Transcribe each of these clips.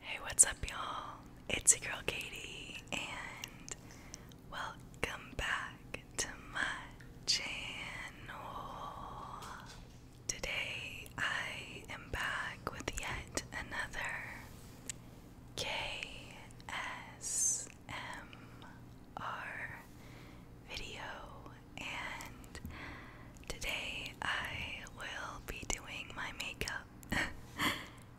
Hey, what's up, y'all? It's your girl Katie, and welcome back to my channel. Today, I am back with yet another KSMR video, and today I will be doing my makeup.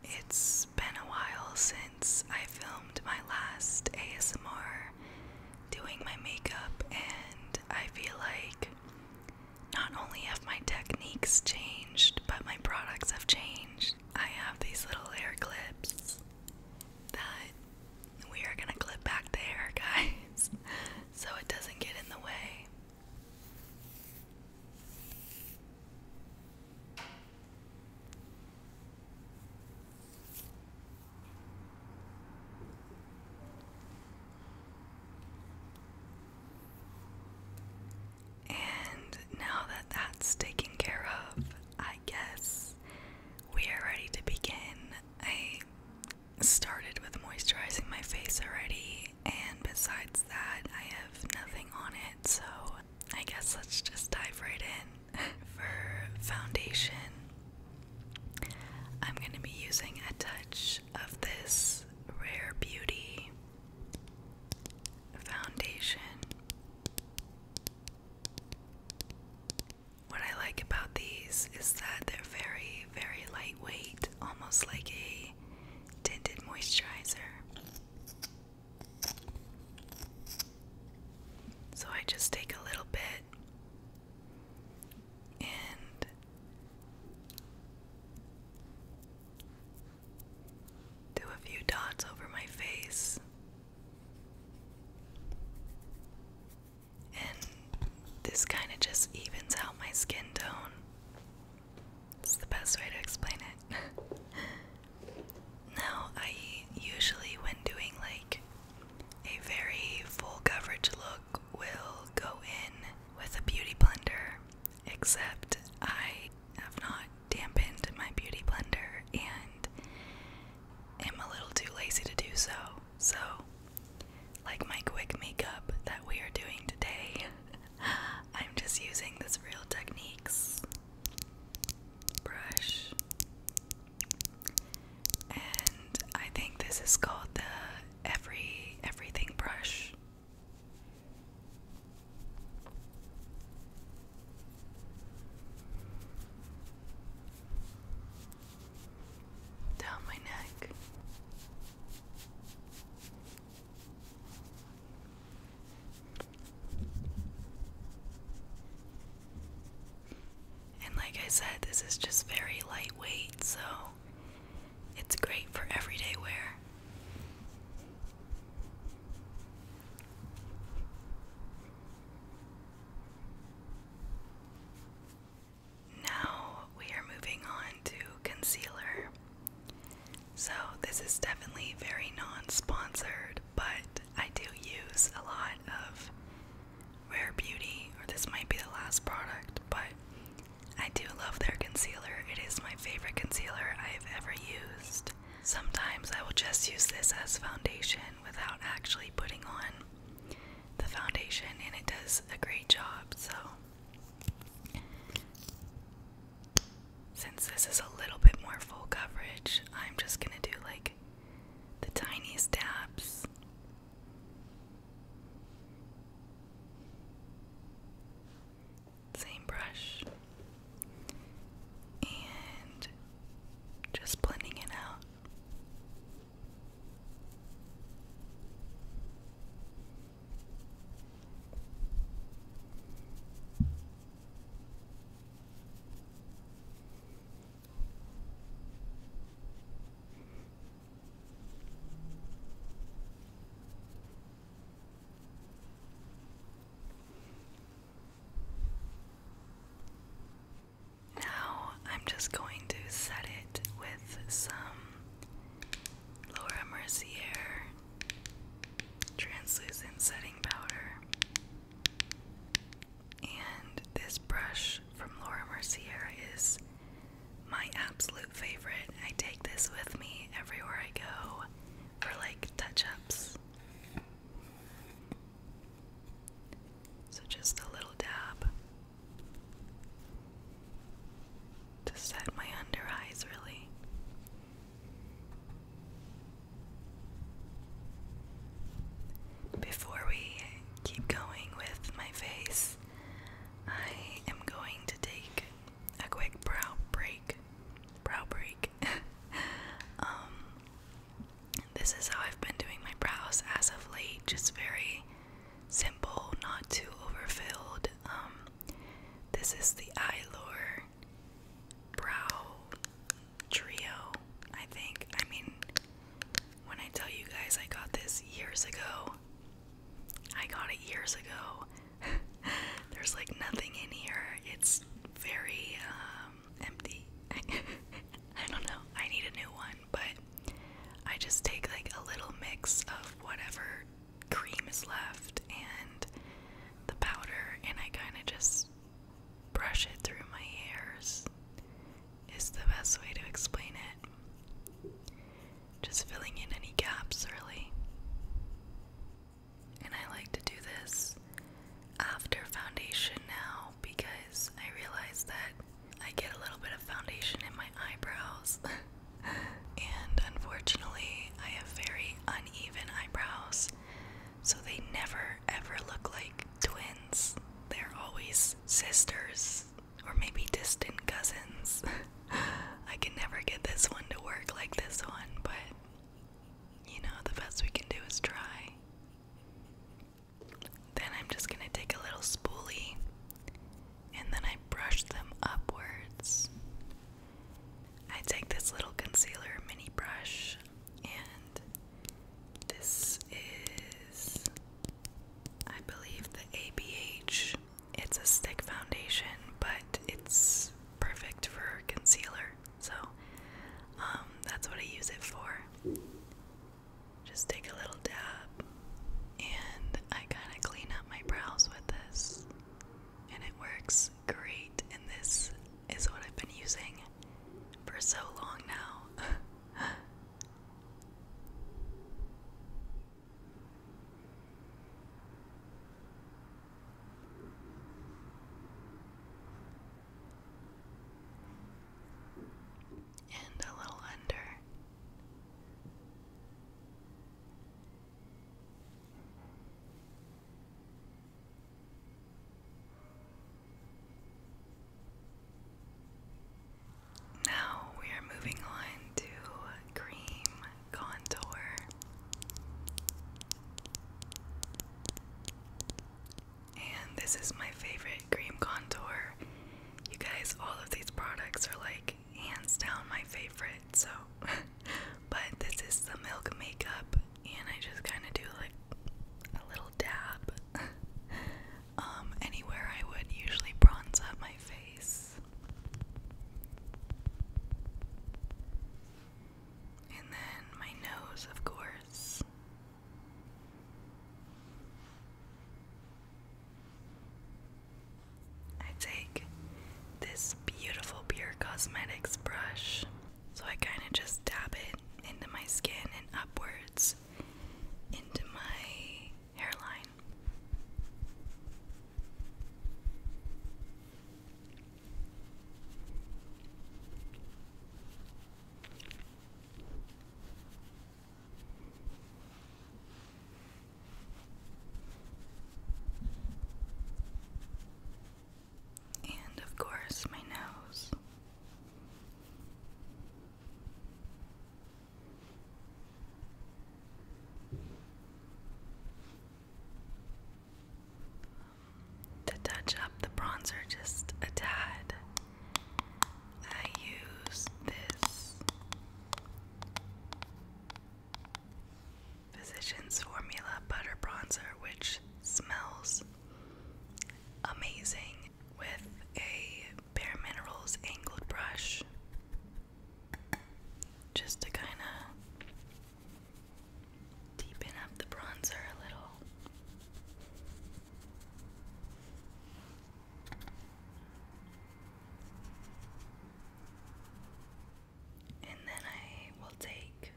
it's been a while since I filmed my last ASMR doing my makeup, and I feel like not only have my techniques changed, but my products have changed. I have these little hair clips that we are gonna clip back there, guys, so it doesn't get in the way. And now that that's taken care of, I guess we are ready to begin. I started with moisturizing my face already and besides that, I have nothing on it, so I guess let's just dive right in. For foundation, I'm going to be using a touch of this Rare Beauty foundation. What I like about these is that they're very, very lightweight, almost like a tinted moisturizer. So I just take a little bit and do a few dots over my face. And this kind of just evens out my skin tone. It's the best way to explain it. now, I usually, when doing like a very full coverage look, will go in with a beauty blender, except I have not dampened my beauty blender and am a little too lazy to do so. So, like my quick makeup that we are doing today, I'm just using this Real Techniques brush. And I think this is called the Every Everything brush. Down my neck. And like I said, this is just very lightweight, so it's great for everyday wear. Now we are moving on to concealer. So, this is definitely very non sponsored, but I do use a lot of Rare Beauty, or this might be the last product, but I do love their concealer. It is my favorite concealer I've ever used. Sometimes I will just use this as foundation without actually putting on the foundation, and it does a great job. So, since this is a little bit more full coverage, I'm just gonna do like the tiniest dabs. Same brush. And just blending it out. Now I'm just going to set it with some Laura Mercier translucent setting powder. And this brush from Laura Mercier is my absolute favorite. I take this with me everywhere I go for like touch ups. So just a little dab to set my under eyes, really. Before we keep going with my face, I am going to take a quick brow break. Brow break. um, this is how I've been doing my brows as of late, just very simple, not too overfilled. Um, this is the Eyelure Brow Trio, I think. I mean, when I tell you guys I got this years ago, I got it years ago. There's like nothing in here. It's very um, empty. I don't know. I need a new one, but I just take like a little mix of whatever cream is left and the powder, and I kind of just brush it through my hairs, is the best way to explain it. Just filling in any gaps really. And I like to do this after foundation now because I realize that I get a little bit of foundation in my eyebrows. and unfortunately, I have very uneven eyebrows, so they never ever look like twins. They're always sisters or maybe distant cousins. I can never get this one to work like this one, but you know, the best we can do is try. Then I'm just gonna take a little spoolie and then I brush them upwards. I take this little concealer mini brush, and this is, I believe, the ABH. It's a stick foundation, but it's perfect for concealer, so um, that's what I use it for. Just take a little dab and I kind of clean up my brows with this, and it works great. And this is what I've been using for so long now. And a little under. Now we are moving on to cream contour. And this is my favorite cream contour. You guys, all of these products are like hands down my favorite, so but this is the milk makeup and I just kinda do like a little dab. um anywhere I would usually bronze up my face. And then my nose, of course. I take this beautiful Pure Cosmetics brush, so I kind of just dab it into my skin and upwards into my hairline. And of course, my nose. To touch up the bronzer just a tad, I use this Physicians Formula Butter Bronzer, which smells amazing with a Bare Minerals angled brush just to kind of deepen up the bronzer a little. And then I will take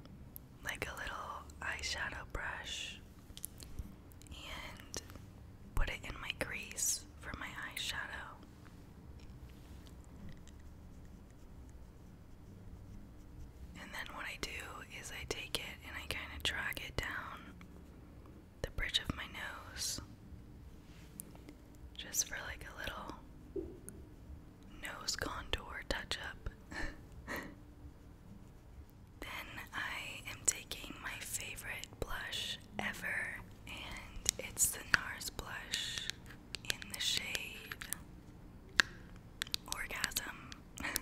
like a little eyeshadow brush and put it in my crease for my eyeshadow. And then what I do is I take it and I kind of drag it down the bridge of my nose just for like a little nose contour touch up. then I am taking my favorite blush ever, and it's the NARS blush in the shade Orgasm.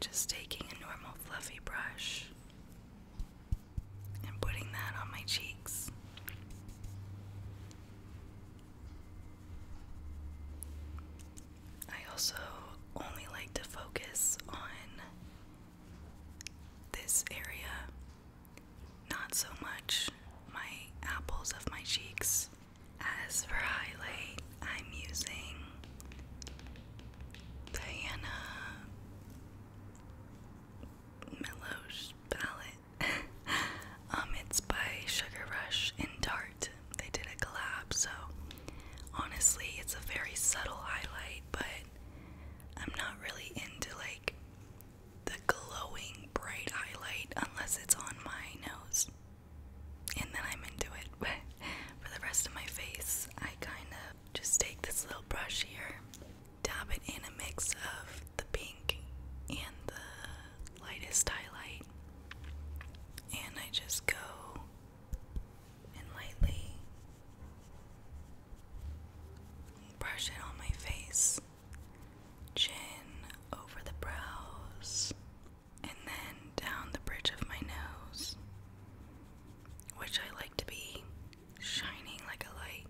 just taking a normal fluffy brush and putting that on my cheeks. I also only like to focus on this area, not so much my apples of my cheeks. As for highlight, I'm using Diana Meloche palette. um, it's by Sugar Rush and DART. They did a collab, so honestly, it's a very subtle highlight, but I'm not really into like the glowing bright highlight unless it's on my nose and then I'm into it. But for the rest of my face, I kind of just take this little brush here, dab it in a mix of the pink and the lightest highlight, and I just go and lightly brush it on my face, chin over the brows and then down the bridge of my nose, which I like to be shining like a light.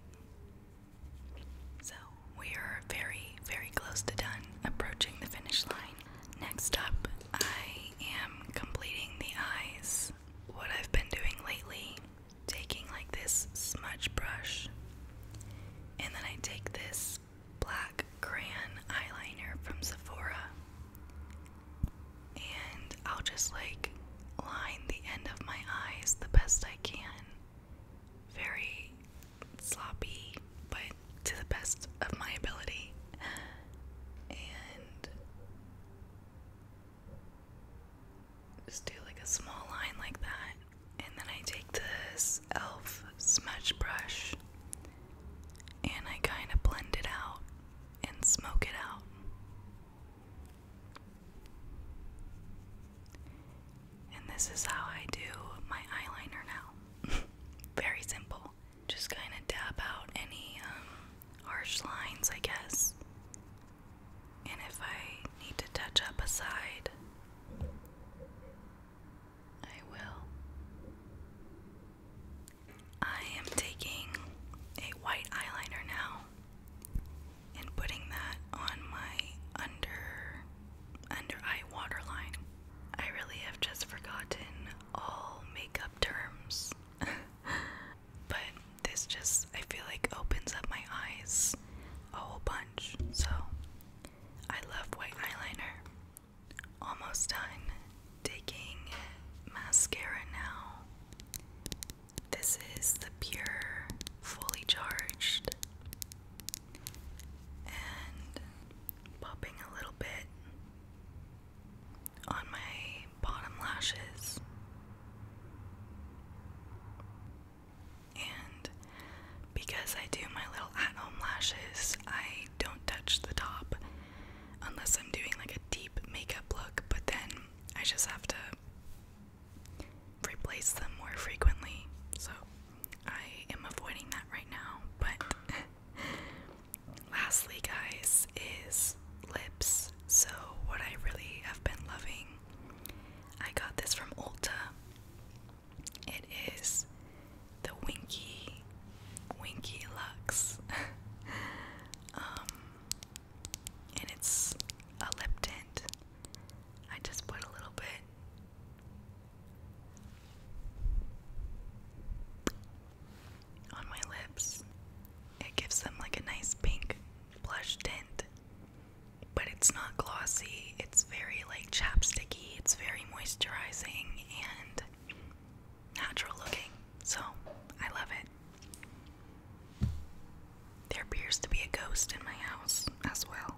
So we are very, very close to done, approaching the finish line. Next up, I am completing the eyes. What I've been doing lately, taking like this smudge brush, and then I take this black crayon eyeliner from Sephora. And I'll just like line the end of my eyes the best I can. Very sloppy, but to the best of my ability. And just do like a small line like that. And then I take this e.l.f. smudge brush and I kind of blend it out and smoke it out. And this is how I do my eyeliner now. Very simple. Just kind of dab out any um, harsh lines, I guess. And if I need to touch up a side, I will. I am taking a white eyeliner now and putting that on my under under eye waterline. I really have just forgotten all makeup terms. but this just I feel like opens up my eyes a whole bunch. So I love white eyeliner. Almost done taking mascara now. This is the Pure Fully Charged. And popping a little bit on my bottom lashes. And because I do my little at home lashes, I don't touch the top unless I'm doing like a deep makeup look, but then I just have to replace them more frequently. So I am avoiding that right now. But lastly, guys, is lips. So, what I really have been loving, I got this from Ulta. It is the Winky Winky Lux. Um, and it's a lip tint. I just put a little bit on my lips. It gives them like a nice pink blush tint, but it's not glossy. It's very like chapsticky. It's very moisturizing and natural looking, so I love it. There appears to be a ghost in my house as well.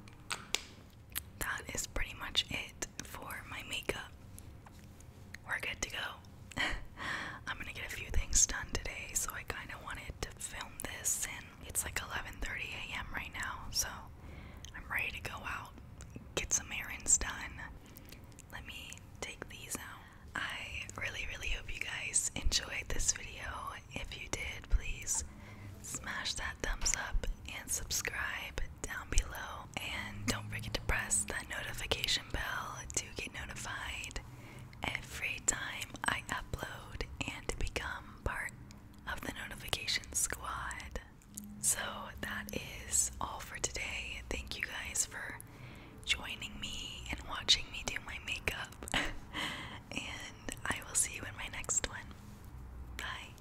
That is pretty much it for my makeup. We're good to go. I'm gonna get a few things done today, so I kind of wanted to film this, and it's like 11:30 a.m. right now, so I'm ready to go out, get some errands done, let me take these out. I really, really hope you guys enjoyed this video. If you did, please smash that thumbs up and subscribe down below. And don't forget to press that notification bell to get notified every time I upload and become part of the notification squad. So that is all for today. Thank you guys for joining me and watching me do my makeup. and I will see you in my next one. Bye.